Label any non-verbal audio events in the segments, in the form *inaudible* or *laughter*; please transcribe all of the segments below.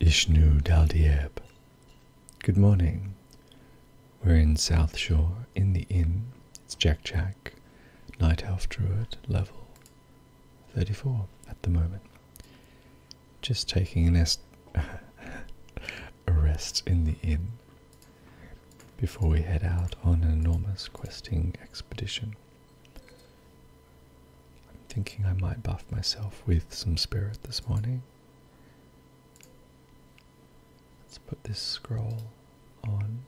Ishnu Daldieb. Good morning. We're in South Shore in the inn. It's Jack Jack, Night Elf Druid, level 34 at the moment. Just taking an *laughs* a rest in the inn before we head out on an enormous questing expedition. I'm thinking I might buff myself with some spirit this morning. Let's put this scroll on.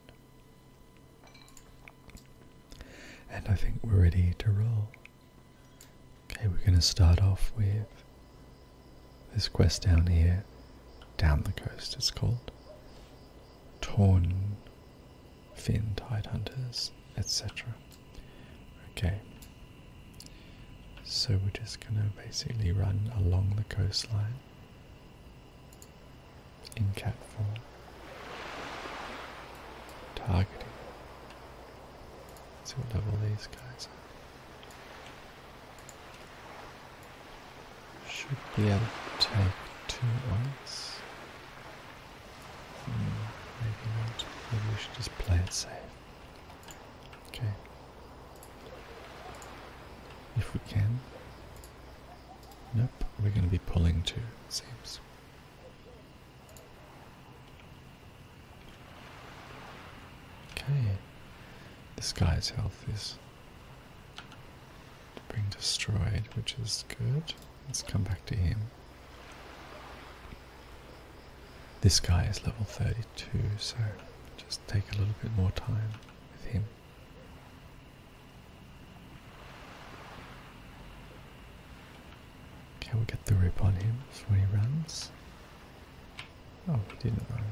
And I think we're ready to roll. Okay, we're going to start off with this quest down here, down the coast it's called. Torn fin hunters, etc. Okay, so we're just going to basically run along the coastline in cat form, targeting. Let's see what level these guys are. Should be able to take two ones maybe not. Maybe we should just play it safe. Okay. If we can. Nope, we're going to be pulling two. seems. Okay. This guy's health is being destroyed, which is good. Let's come back to him. This guy is level 32, so just take a little bit more time with him. Can we get the rip on him before he runs? Oh, he didn't run.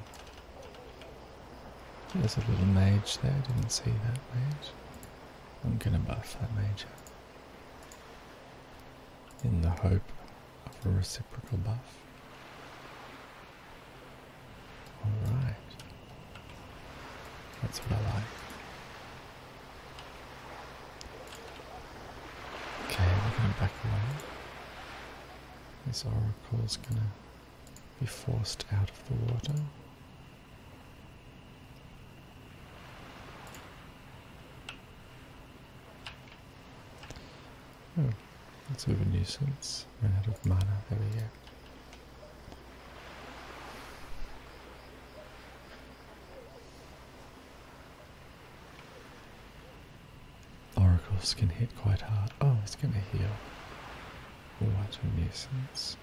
There's a little mage there, didn't see that mage. I'm gonna buff that mage in the hope of a reciprocal buff. Alright. That's what I like. Okay, we're gonna back away. This oracle's gonna be forced out of the water. Oh, that's sort a nuisance. Ran out of mana. There we go. Oracles can hit quite hard. Oh, it's going to heal. What a nuisance.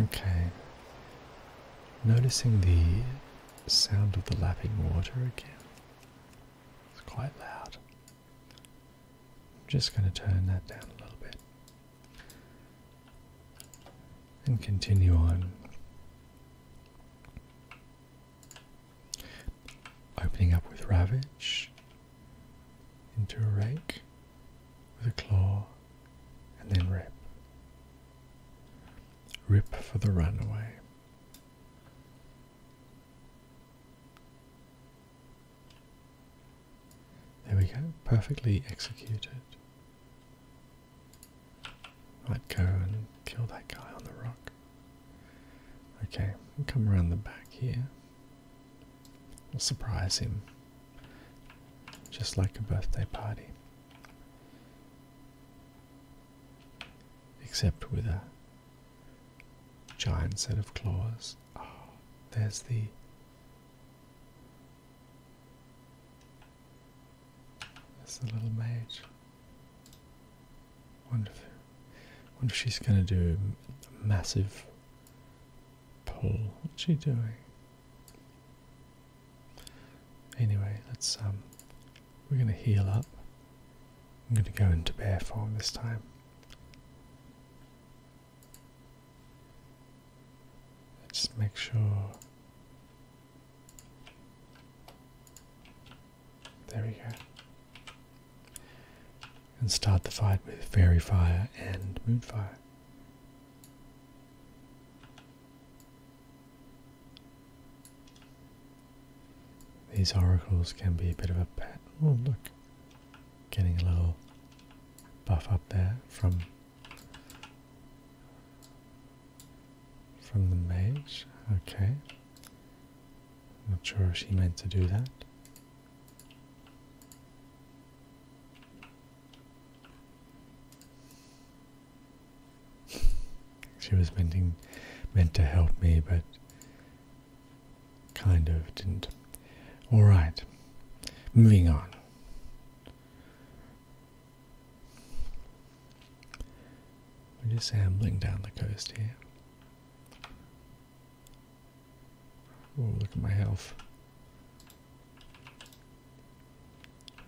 Okay. Noticing the sound of the lapping water again. It's quite loud. I'm just going to turn that down a little bit. And continue on. Opening up with Ravage into a rake with a claw and then rip. Rip for the runaway. There we go, perfectly executed. Might go and kill that guy on the rock. Okay, come around the back here. We'll surprise him. Just like a birthday party. Except with a giant set of claws. Oh, there's the there's the little mage. Wonder if, wonder if she's going to do a massive pull. What's she doing? Anyway, let's um, we're going to heal up. I'm going to go into bear form this time. Let's make sure there we go. And start the fight with Fairy Fire and Moonfire. These oracles can be a bit of a pet. Oh, look. Getting a little buff up there from from the mage. Okay. Not sure if she meant to do that. she was meant to help me, but kind of didn't. All right, moving on. We're just ambling down the coast here. Oh, look at my health.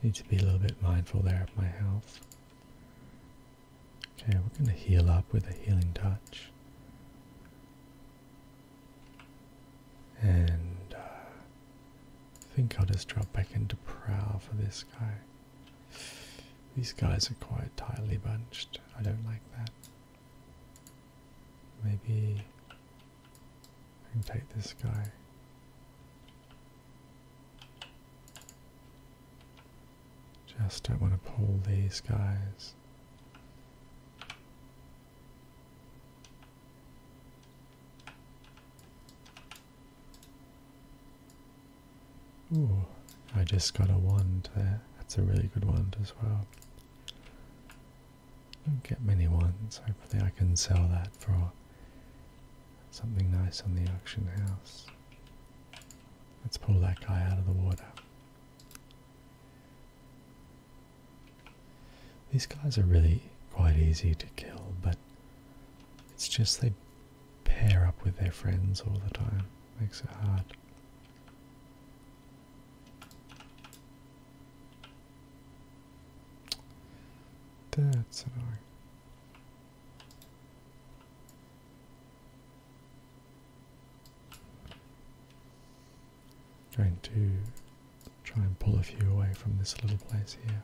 Need to be a little bit mindful there of my health. Okay, we're going to heal up with a healing touch. And uh, I think I'll just drop back into prowl for this guy. These guys are quite tightly bunched. I don't like that. Maybe I can take this guy. Just don't want to pull these guys. Ooh, I just got a wand there. That's a really good wand as well. Don't get many wands. Hopefully, I can sell that for something nice on the auction house. Let's pull that guy out of the water. These guys are really quite easy to kill, but it's just they pair up with their friends all the time. Makes it hard. That's annoying. Going to try and pull a few away from this little place here.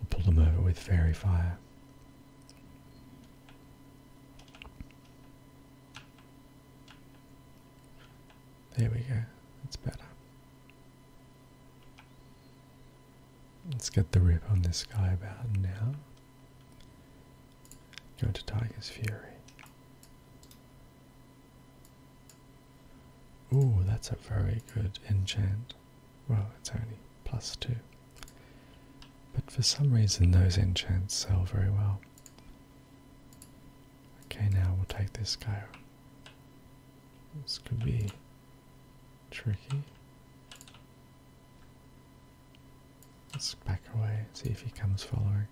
We'll pull them over with fairy fire. There we go. That's better. Let's get the rip on this guy about now. Go to Tiger's Fury. Ooh, that's a very good enchant. Well, it's only plus two. But for some reason, those enchants sell very well. Okay, now we'll take this guy. This could be tricky. Let's back away, see if he comes following.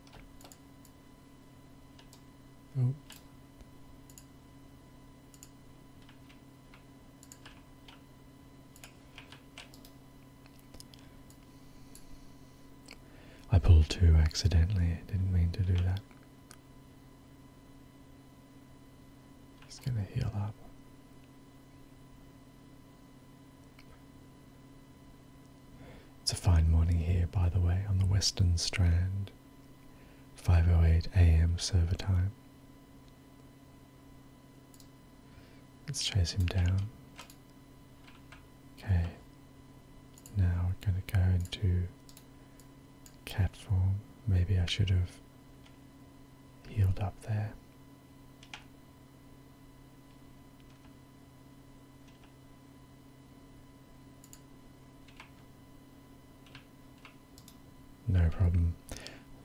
Oh. I pulled two accidentally, didn't mean to do that. He's gonna heal up. It's a fine morning here, by the way, on the western strand. 5:08 a.m. server time. Let's chase him down. Okay. Now we're going to go into cat form. Maybe I should have healed up there no problem.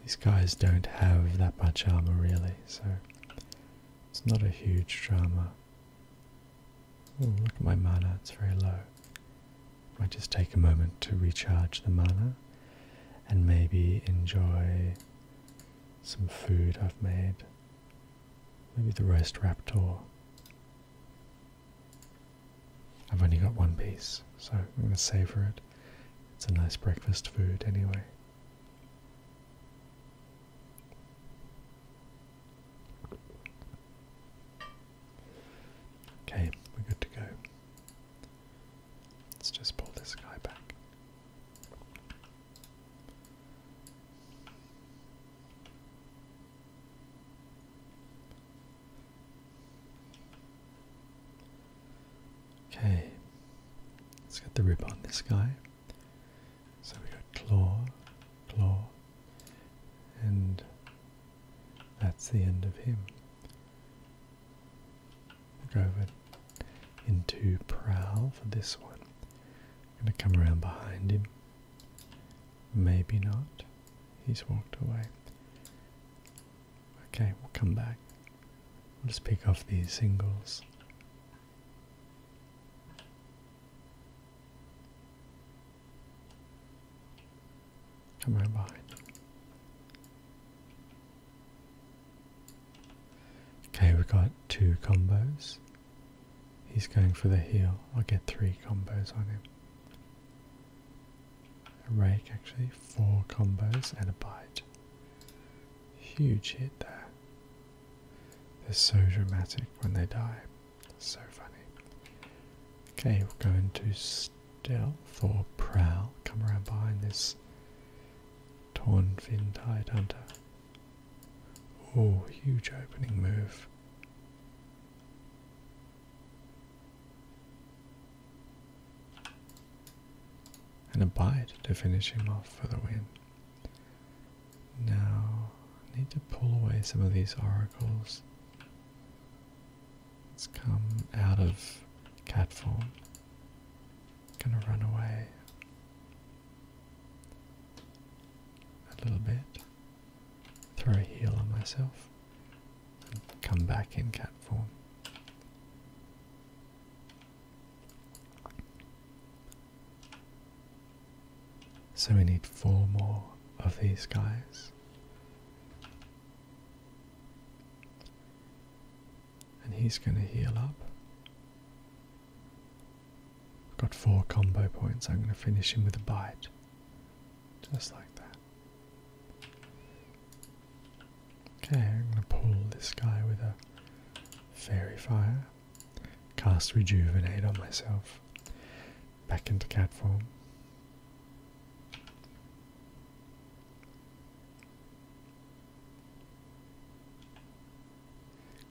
These guys don't have that much armor really, so it's not a huge drama. Oh, look at my mana, it's very low. Might just take a moment to recharge the mana and maybe enjoy some food I've made. Maybe the roast raptor. I've only got one piece, so I'm going to savor it. It's a nice breakfast food anyway. Okay, we're good to go. Let's just pull this guy back. Okay, let's get the rib on this guy. So we got claw, claw, and that's the end of him. We'll go over into prow for this one. I'm going to come around behind him. Maybe not. He's walked away. Okay, we'll come back. I'll just pick off these singles. Come right behind. Okay, we've got two combos. He's going for the heel. I'll get three combos on him a rake actually, four combos and a bite. Huge hit there. They're so dramatic when they die. So funny. Okay, we are going to stealth or prowl. Come around behind this torn fin tide hunter. Oh, huge opening move. And abide to finish him off for the win. Now, I need to pull away some of these oracles. Let's come out of cat form. I'm gonna run away a little bit. Throw a heal on myself come back in cat form. So we need four more of these guys. And he's going to heal up. got four combo points. I'm going to finish him with a bite. Just like that. Okay, I'm going to pull this guy with a fairy fire. Cast rejuvenate on myself. Back into cat form.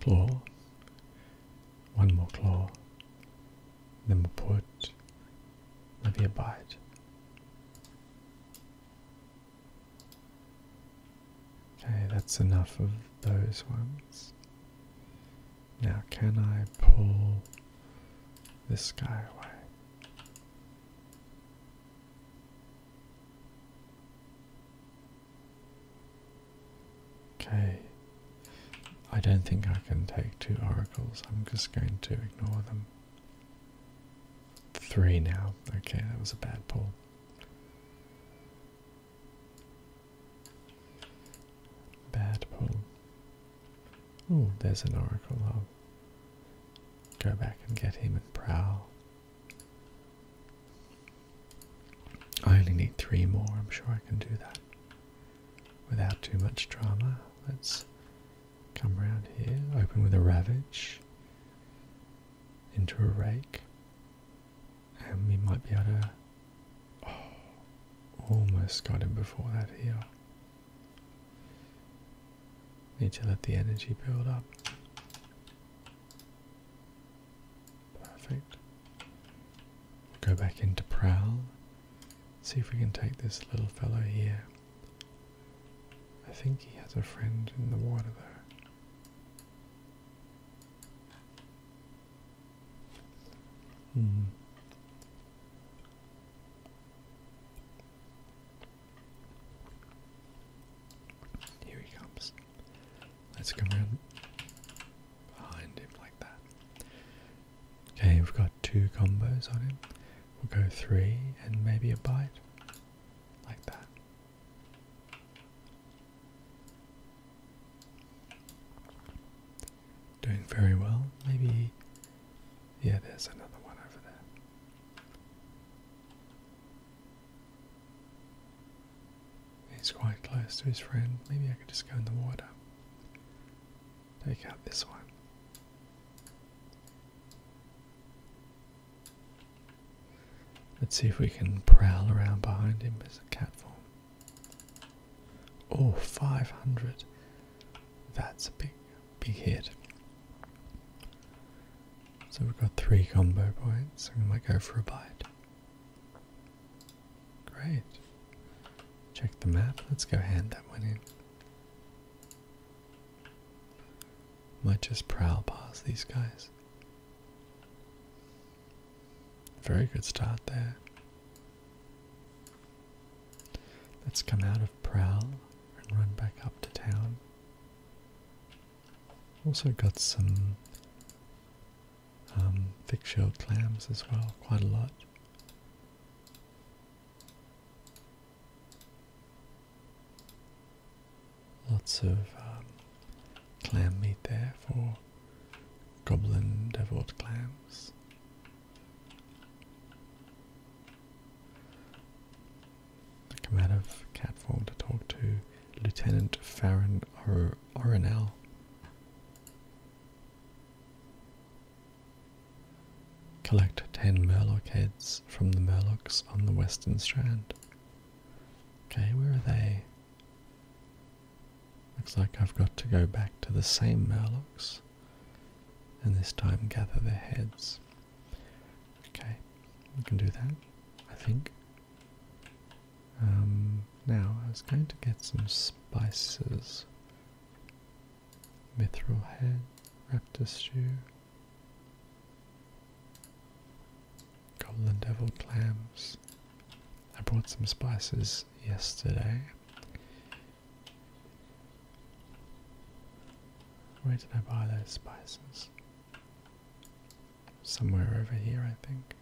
Claw. One more claw. Then we'll put maybe a bite. Okay, that's enough of those ones. Now, can I pull this guy away? Okay, I don't think I can take two oracles, I'm just going to ignore them. Three now. Okay, that was a bad pull. Bad pull. Oh, there's an oracle. i go back and get him and prowl. I only need three more. I'm sure I can do that without too much drama. Let's Come around here, open with a ravage into a rake, and we might be able to. Oh, almost got him before that here. Need to let the energy build up. Perfect. go back into prowl see if we can take this little fellow here. I think he has a friend in the water though. Hmm. Here he comes. Let's come around behind him like that. Okay, we've got two combos on him. We'll go three and maybe a bite. Like that. Doing very well. Maybe. Yeah, there's another one over there. He's quite close to his friend. Maybe I could just go in the water. Take out this one. Let's see if we can prowl around behind him as a cat form. Oh, 500. That's a big, big hit. So we've got three combo points. We might go for a bite. Great. Check the map. Let's go hand that one in. Might just prowl past these guys. Very good start there. Let's come out of prowl and run back up to town. Also got some um, thick shelled clams as well, quite a lot. Lots of um, clam meat there for goblin devilled clams. I come out of cat to talk to Lieutenant Farron Or Orinal. Collect 10 Murloc heads from the Murlocs on the western strand. Okay, where are they? Looks like I've got to go back to the same Murlocs and this time gather their heads. Okay, we can do that, I think. Um, now, I was going to get some spices. Mithril head, raptor stew. Goblin devil clams. I brought some spices yesterday. Where did I buy those spices? Somewhere over here, I think.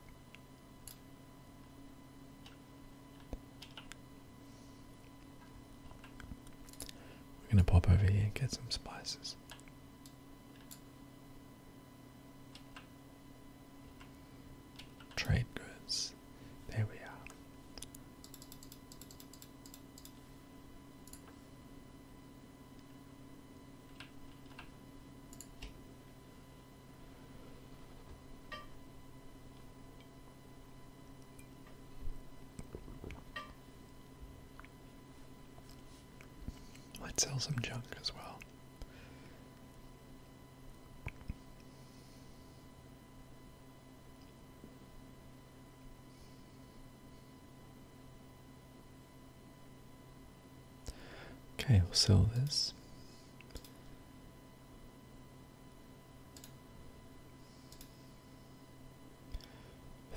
We're going to pop over here and get some spices. Trade goods. There we are. Let's sell some junk as well. Okay, we'll sell this.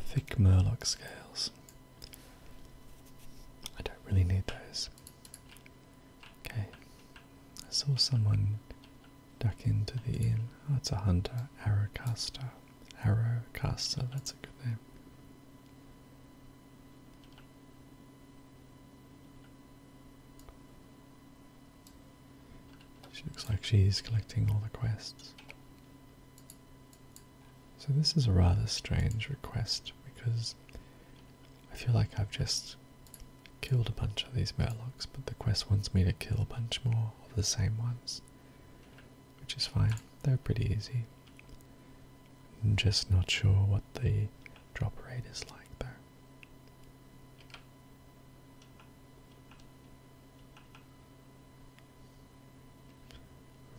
Thick Murloc scales. I don't really need those. Okay. I saw someone duck into the inn. Oh, it's a hunter. Arrowcaster. Arrowcaster, that's a good name. She looks like she's collecting all the quests. So, this is a rather strange request because I feel like I've just killed a bunch of these murlocs, but the quest wants me to kill a bunch more of the same ones, which is fine. They're pretty easy. I'm just not sure what the drop rate is like, there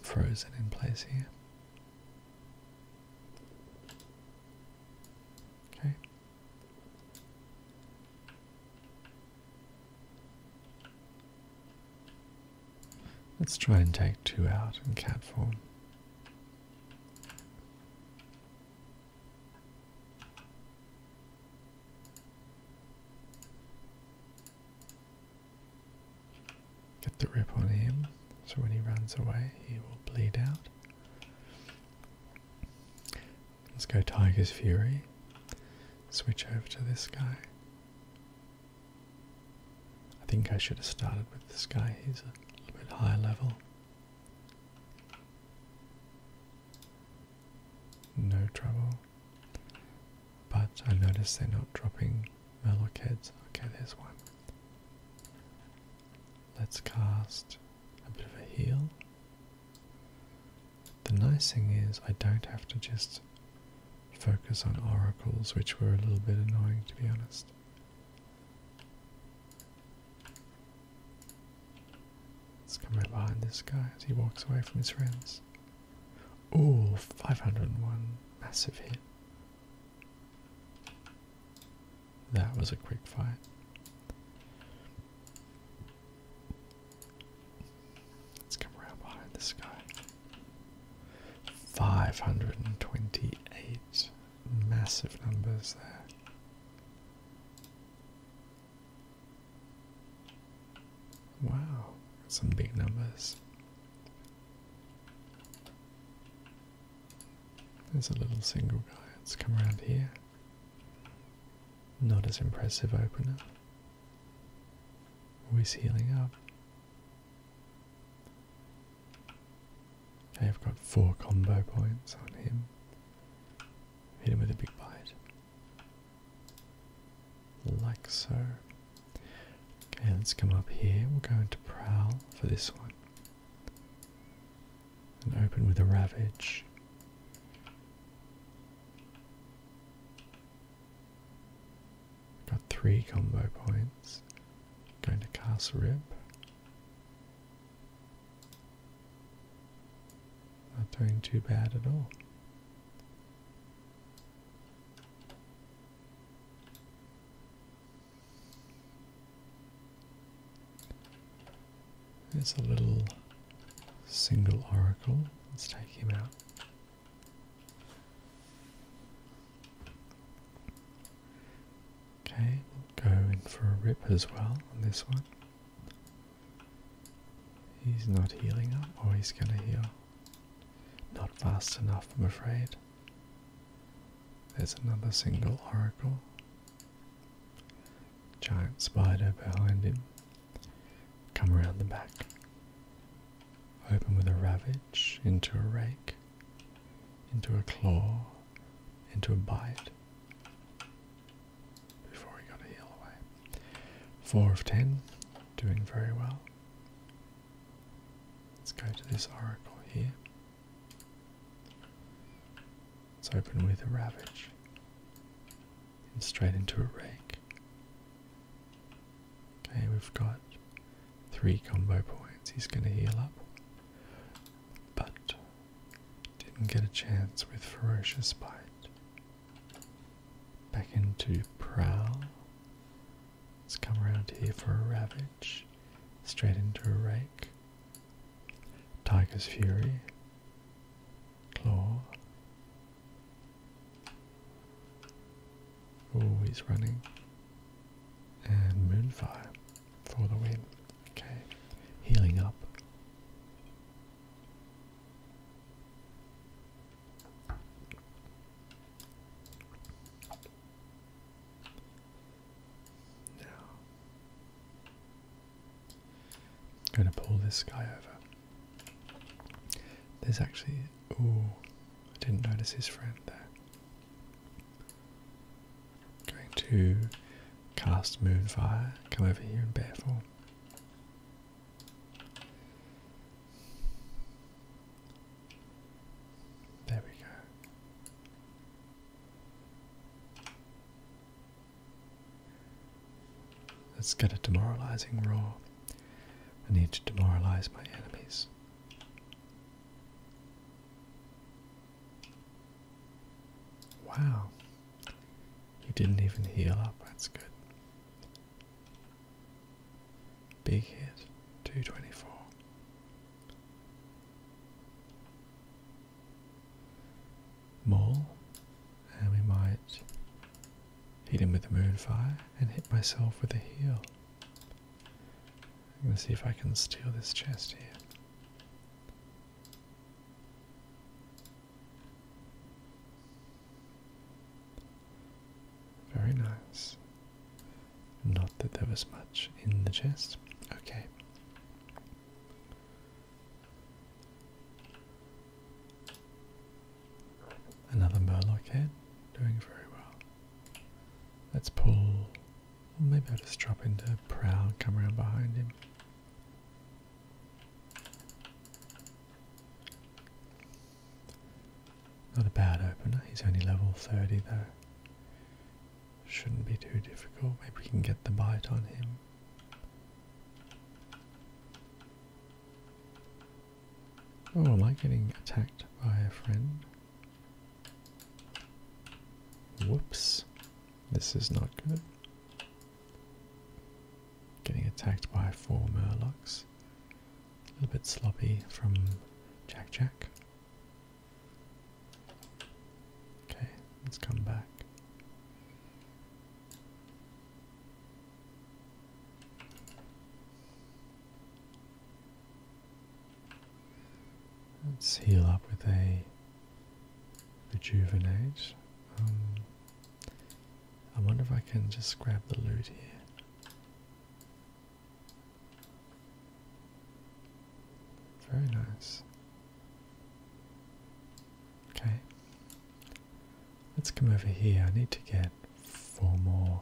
frozen in place here. Okay. Let's try and take two out in cat form. Get the rip on him so when he runs away he will bleed out. Let's go Tiger's Fury. Switch over to this guy. I think I should have started with this guy, he's a little bit higher level no trouble. But I notice they're not dropping Murloc heads. Okay, there's one. Let's cast a bit of a heal. The nice thing is, I don't have to just focus on oracles, which were a little bit annoying to be honest. Let's come right behind this guy as he walks away from his friends. Ooh, 501. Massive hit. That was a quick fight. Let's come around behind this guy. 528. Massive numbers there. Wow, some big numbers. There's a little single guy. Let's come around here. Not as impressive opener. Always healing up. Okay, I've got four combo points on him. Hit him with a big bite like so. Okay, let's come up here. we are going to Prowl for this one. And open with a Ravage. Got three combo points. Going to cast Rip. Not doing too bad at all. There's a little single oracle. Let's take him out. Okay, go in for a rip as well on this one. He's not healing up, or he's gonna heal. Not fast enough, I'm afraid. There's another single oracle. Giant spider behind him. Come around the back. Open with a ravage, into a rake, into a claw, into a bite before we got a heal away. Four of ten, doing very well. Let's go to this oracle here. Let's open with a ravage and straight into a rake. Okay, we've got three combo points. He's going to heal up, but didn't get a chance with ferocious bite. Back into prow. Let's come around here for a Ravage. Straight into a Rake. Tiger's Fury. Claw. Oh, he's running. And Moonfire for the win. Okay, healing up. Now, I'm going to pull this guy over. There's actually. Oh, I didn't notice his friend there. I'm going to cast Moonfire, come over here in bear form. There we go. Let's get a demoralizing roar. I need to demoralize my enemies. Wow. He didn't even heal up, that's good. Big hit, 224. Maul, and we might hit him with the moonfire and hit myself with the heel. I'm going to see if I can steal this chest here. Very nice. Not that there was much in the chest. Okay. Another Murloc head, doing very well. Let's pull. Maybe I'll just drop into Prowl, come around behind him. Not a bad opener, he's only level 30 though. Shouldn't be too difficult, maybe we can get the bite on him. Oh, am like getting attacked by a friend? Whoops, this is not good. Getting attacked by four murlocs. A little bit sloppy from Jack Jack. Okay, let's come back. Let's heal up with a rejuvenate. I wonder if I can just grab the loot here. Very nice. Okay. Let's come over here. I need to get four more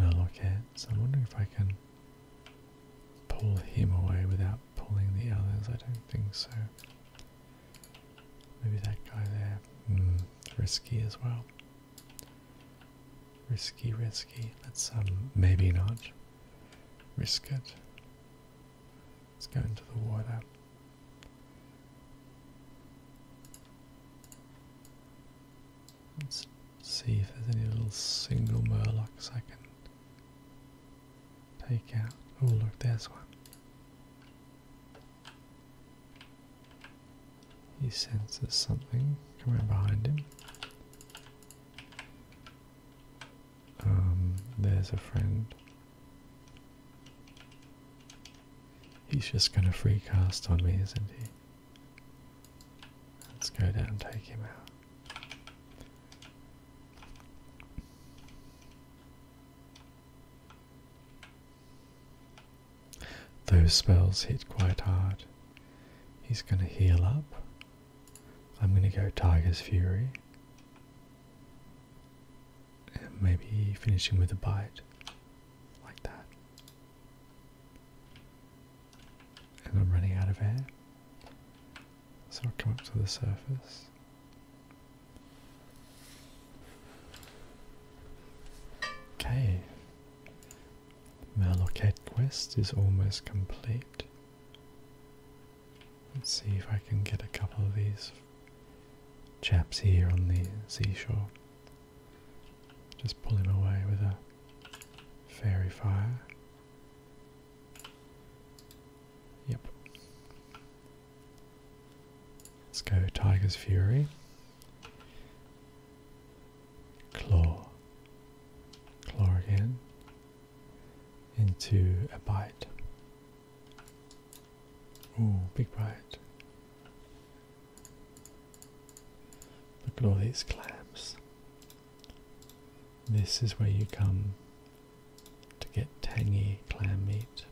Murloc heads. I'm wondering if I can pull him away without pulling the others. I don't think so. Maybe that guy there. Mm risky as well. Risky, risky. Let's um maybe not risk it. Let's go into the water. Let's see if there's any little single murlocs I can take out. Oh look, there's one. He senses something coming behind him. Um, there's a friend. He's just gonna free cast on me, isn't he? Let's go down take him out. Those spells hit quite hard. He's going to heal up. I'm going to go Tiger's Fury. And maybe finish him with a bite. Like that. And I'm running out of air. So i come up to the surface. Okay. Malocate quest is almost complete. Let's see if I can get a couple of these chaps here on the seashore. Just pull him away with a fairy fire. Yep. Let's go Tiger's Fury claw, claw again into a bite. Ooh, big bite. Look at all these clams. This is where you come to get tangy clam meat.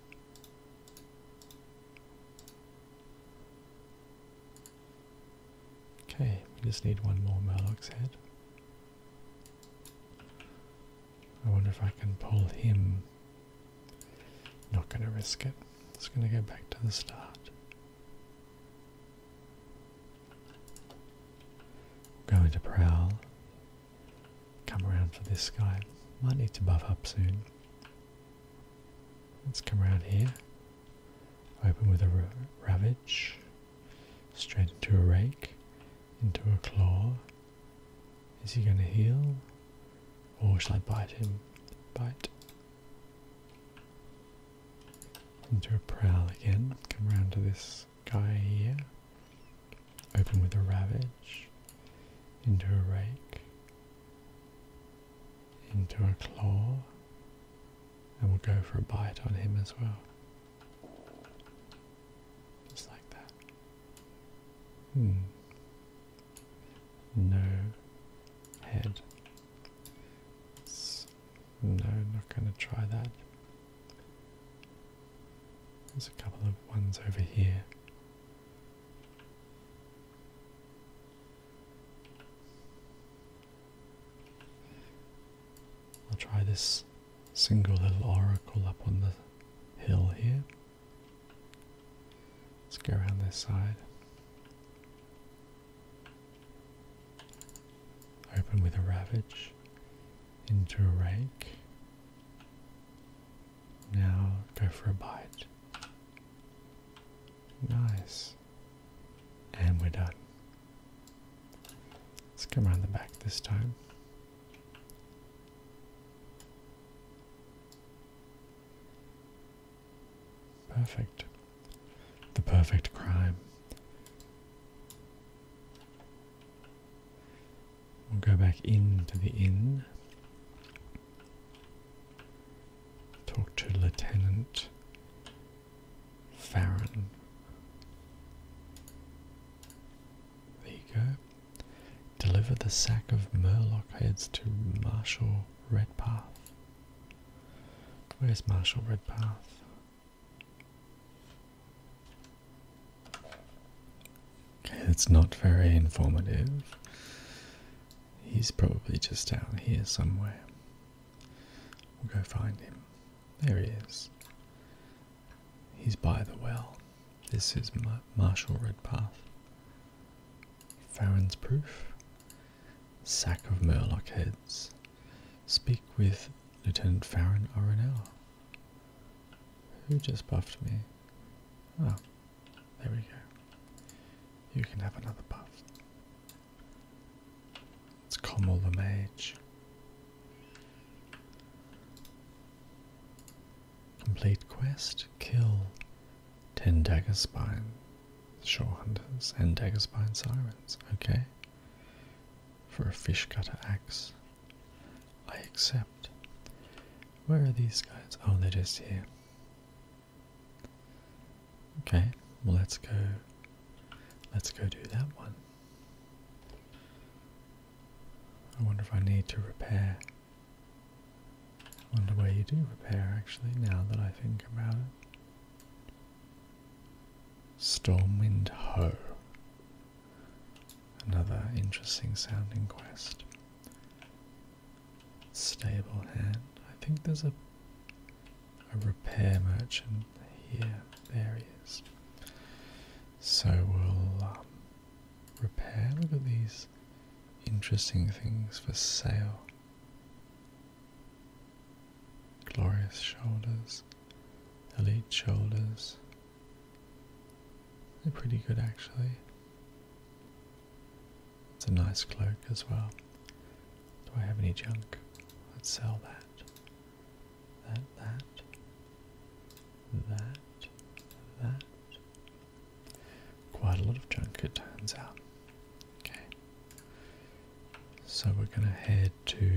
Okay, we just need one more Murloc's head. I wonder if I can pull him. Not going to risk it. Just going to go back to the start. Going to prowl. Come around for this guy. Might need to buff up soon. Let's come around here. Open with a ravage. Straight into a rake. Into a claw. Is he going to heal? Or shall I bite him? Bite. Into a prowl again. Come round to this guy here. Open with a ravage. Into a rake into a claw, and we'll go for a bite on him as well. Just like that. Hmm. No head. no, not going to try that. There's a couple of ones over here. I'll try this single little oracle up on the hill here. Let's go around this side. Open with a ravage into a rake. Now go for a bite. Nice. And we're done. Let's come around the back this time. Perfect. The perfect crime. We'll go back into the inn. Talk to Lieutenant Farron. There you go. Deliver the sack of Murlock heads to Marshal Redpath. Where's Marshal Redpath? Okay, it's not very informative. He's probably just out here somewhere. We'll go find him. There he is. He's by the well. This is Mar Marshall Redpath. Farron's proof. Sack of Murloc heads. Speak with Lieutenant Farron Orenella. Who just buffed me? Oh, there we go. You can have another puff. It's Commel the Mage. Complete quest. Kill 10 dagger spine shore hunters and dagger spine sirens. Okay. For a fish cutter axe. I accept. Where are these guys? Oh, they're just here. Okay, well let's go let's go do that one. I wonder if I need to repair. I wonder where you do repair actually now that I think about it. Stormwind Ho. Another interesting sounding quest. Stable hand. I think there's a a repair merchant here. There he is. So we'll um, repair. Look at these interesting things for sale. Glorious shoulders, elite shoulders. They're pretty good actually. It's a nice cloak as well. Do I have any junk? Let's sell that. That, that, that, that. Quite a lot of junk, it turns out. Okay. So we're going to head to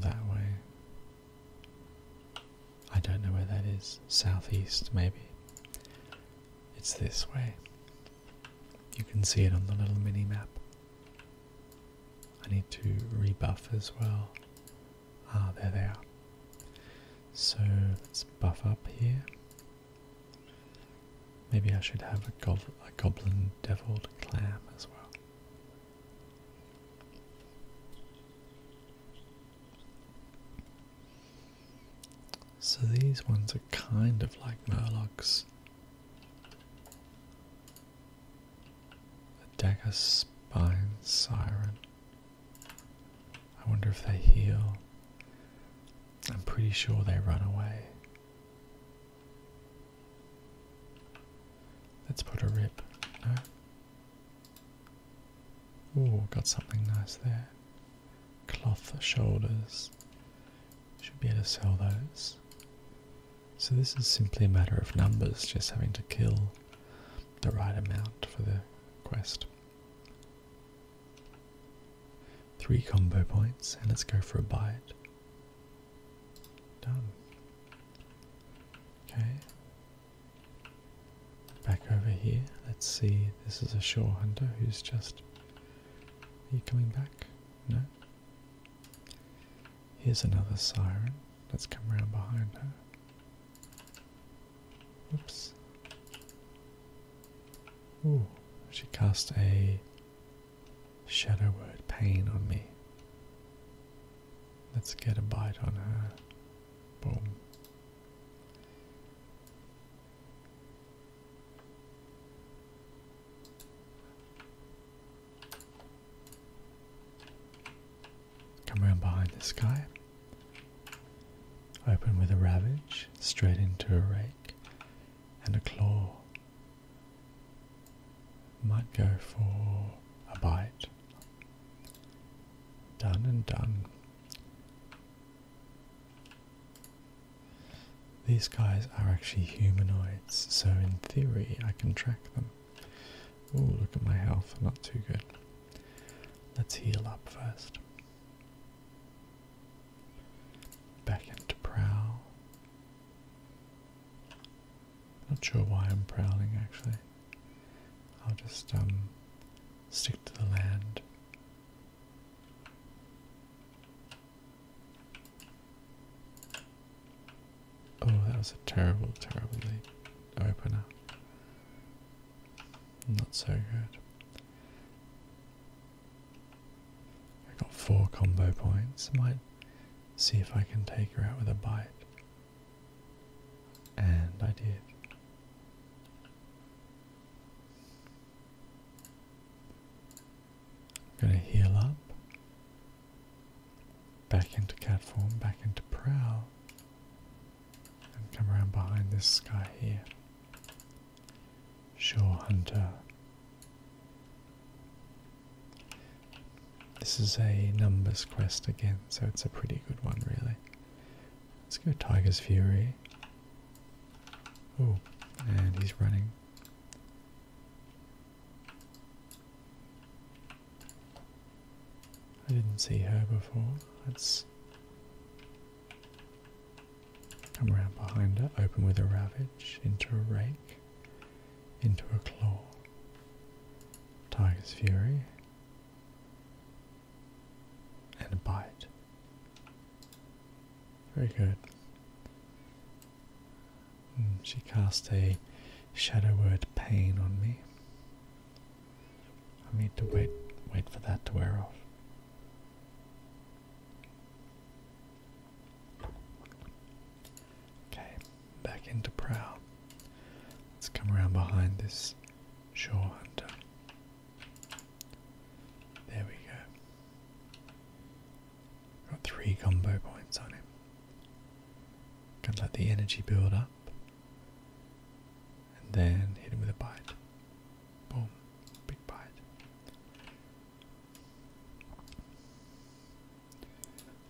that way. I don't know where that is. Southeast, maybe. It's this way. You can see it on the little mini map. I need to rebuff as well. Ah, there they are. So let's buff up here. Maybe I should have a, goblin deviled clam as well. So these ones are kind of like murlocs. The dagger spine siren. I wonder if they heal. I'm pretty sure they run away. Let's put a rip. No. Oh, got something nice there. Cloth shoulders. Should be able to sell those. So this is simply a matter of numbers, just having to kill the right amount for the quest. Three combo points, and let's go for a bite. Done. Okay, Back over here, let's see. This is a shore hunter who's just. Are you coming back? No? Here's another siren. Let's come around behind her. Oops. Ooh, she cast a shadow word pain on me. Let's get a bite on her. Boom. Come around behind this guy. Open with a ravage, straight into a rake, and a claw. Might go for a bite. Done and done. These guys are actually humanoids, so in theory I can track them. Oh, look at my health, not too good. Let's heal up first. Back into prowl. Not sure why I'm prowling actually. I'll just um stick to the land. Oh, that was a terrible, terrible opener. Not so good. I got four combo points. might see if I can take her out with a bite. And I did. I'm going to heal up. Back into cat form, back into prow. And come around behind this guy here. Shore Hunter. This is a numbers quest again, so it's a pretty good one, really. Let's go Tiger's Fury. Oh, and he's running. I didn't see her before. Let's come around behind her, open with a ravage, into a rake, into a claw. Tiger's Fury and buy Very good. Mm, she cast a shadow word pain on me. I need to wait wait for that to wear off. Okay, back into prow. Let's come around behind this shore hunter. There we go. Got three combo points on him. Can let the energy build up. And then hit him with a bite. Boom. Big bite.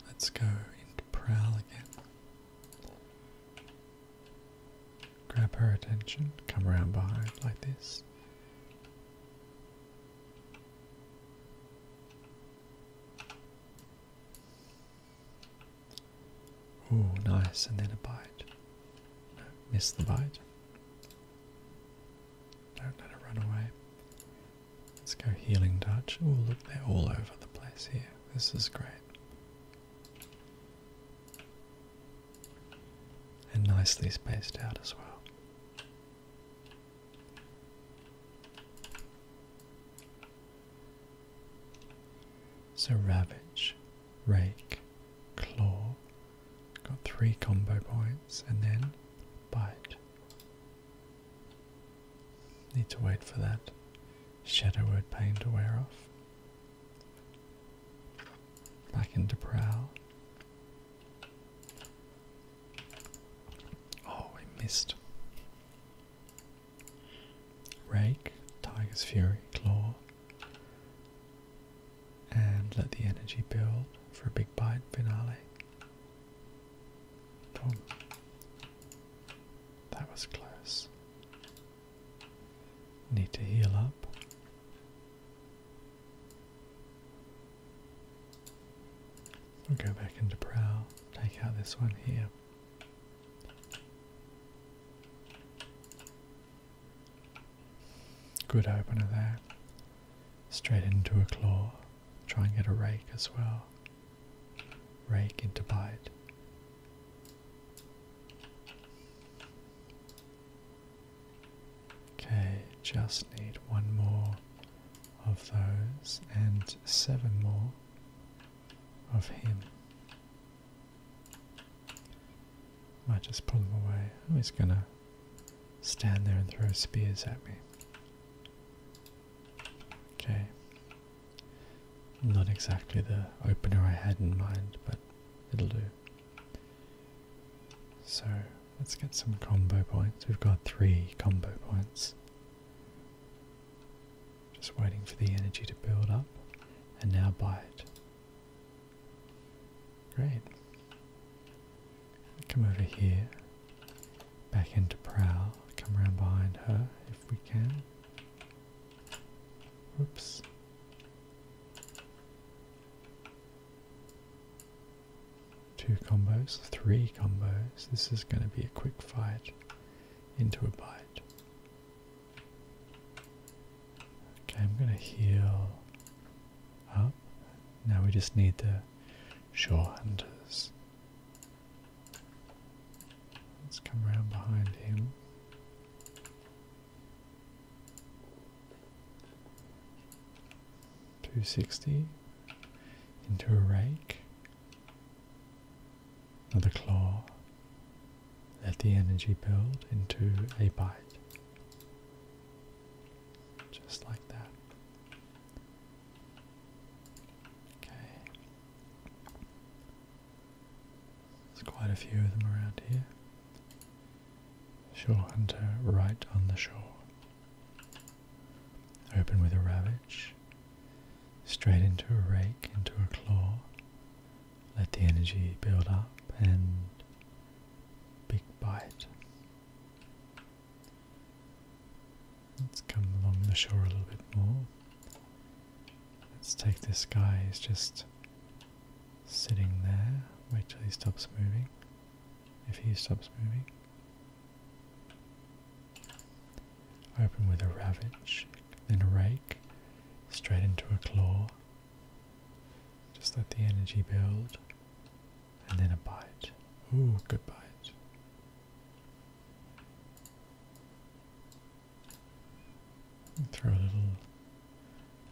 Let's go into prowl again. Grab her attention, come around behind like this. Ooh, nice, and then a bite. miss the bite. Don't let it run away. Let's go healing touch. Oh, look, they're all over the place here. This is great and nicely spaced out as well. So ravage, rake, claw, got three combo points, and then bite. Need to wait for that shadow word pain to wear off. Back into prow. Oh, we missed. Rake, Tiger's Fury, Claw. And let the energy build for a big bite finale. Boom. That was close. Need to heal up. go back into prow, take out this one here. Good opener there. Straight into a claw. Try and get a rake as well. Rake into bite. Okay, just need one more of those and seven more of him. Might just pull him away. Oh, he's gonna stand there and throw spears at me. Okay. Not exactly the opener I had in mind, but it'll do. So let's get some combo points. We've got three combo points. Just waiting for the energy to build up and now buy it. Great. Come over here, back into prow, come around behind her if we can. Oops. Two combos, three combos. This is going to be a quick fight into a bite. Okay, I'm going to heal up. Now we just need the shore hunters. Let's come around behind him. 260 into a rake, another claw, let the energy build into a bite, just like that. Okay, there's quite a few of them around here. Shorehunter right on the shore. Open with a ravage. Straight into a rake, into a claw. Let the energy build up and big bite. Let's come along the shore a little bit more. Let's take this guy, he's just sitting there. Wait till he stops moving. If he stops moving. Open with a ravage, then a rake, straight into a claw. Just let the energy build, and then a bite. Ooh, good bite throw a little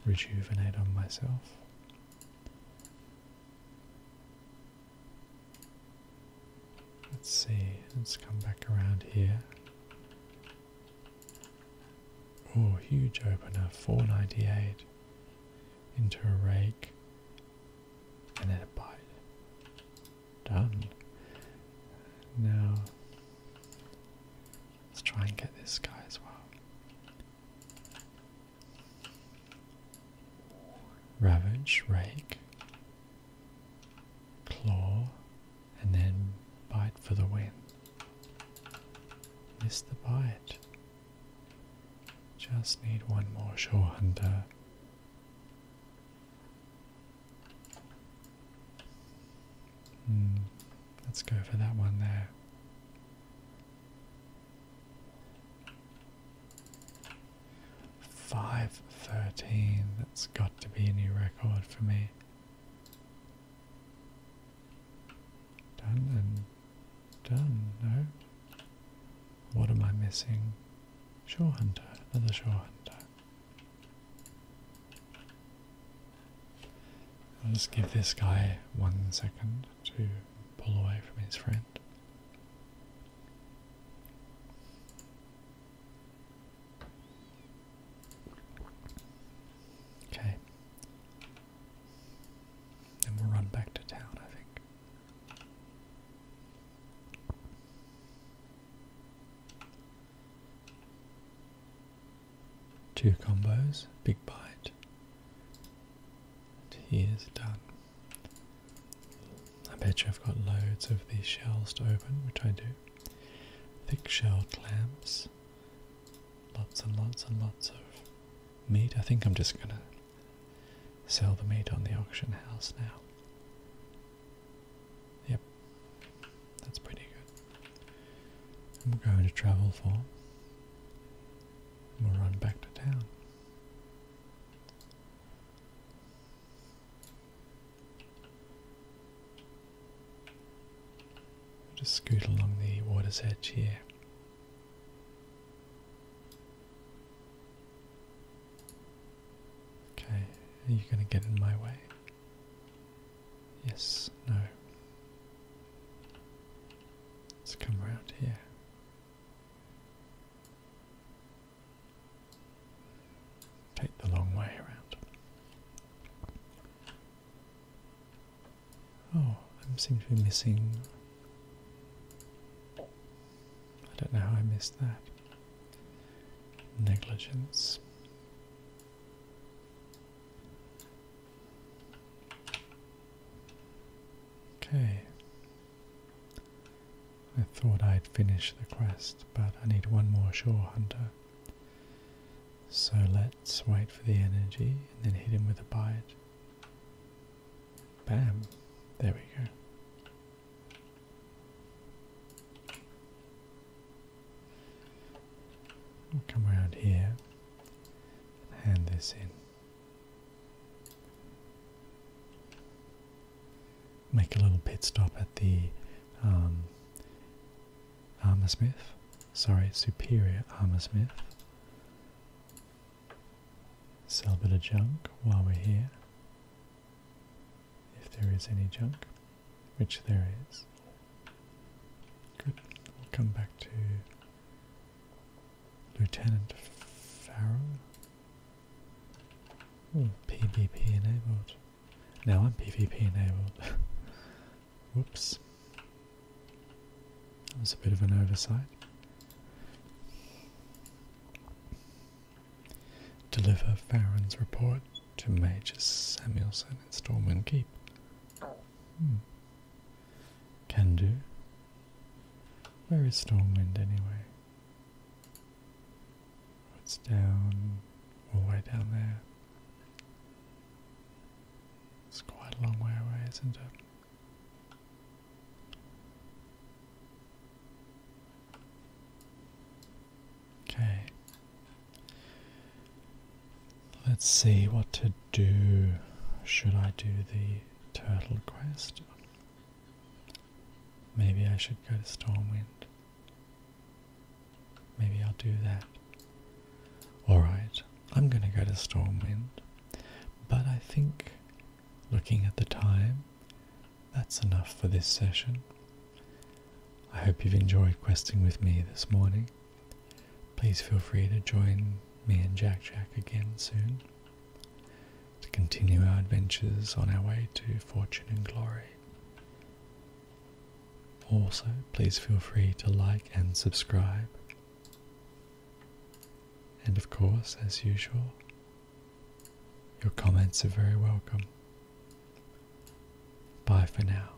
rejuvenate on myself. Let's see, let's come back around here. Oh, huge opener, 498 into a rake and then a bite. Done. Now Let's try and get this guy as well. Ravage, rake, claw, and then bite for the win. Miss the bite. Just need one more shore hunter. Hmm. let's go for that one there. Five thirteen. That's got to be a new record for me. Done and done. No. What am I missing? Shore hunter. Another shore hunter. I'll just give this guy one second to pull away from his friend. Okay. And we'll run back to town, I think. Two combos, big bite. he is done. I bet you I've got loads of these shells to open, which I do. Thick shell clams. Lots and lots and lots of meat. I think I'm just gonna sell the meat on the auction house now. Yep that's pretty good. And we're going to travel for. we'll run back to town. just scoot along the water's edge here. Okay, are you going to get in my way? Yes, no. Let's come around here. Take the long way around. Oh, I seem to be missing. I don't know how I missed that. Negligence. Okay. I thought I'd finish the quest, but I need one more shore hunter. So let's wait for the energy and then hit him with a bite. Bam! There we go come around here and hand this in. Make a little pit stop at the um, Sorry, superior armorsmith. Sell a bit of junk while we're here. If there is any junk, which there is. Good. We'll come back to Lieutenant Farrell. PvP enabled. Now I'm PvP enabled. *laughs* Whoops. That was a bit of an oversight. Deliver Farron's report to Major Samuelson in Stormwind Keep. Hmm. Can do. Where is Stormwind anyway? It's down, all the way down there. It's quite a long way away, isn't it? Okay. Let's see what to do. Should I do the turtle quest? Maybe I should go to Stormwind. Maybe I'll do that. Alright, I'm gonna go to Stormwind. But I think, looking at the time, that's enough for this session. I hope you've enjoyed questing with me this morning. Please feel free to join me and Jack Jack again soon to continue our adventures on our way to fortune and glory. Also, please feel free to like and subscribe. And of course, as usual, your comments are very welcome. Bye for now.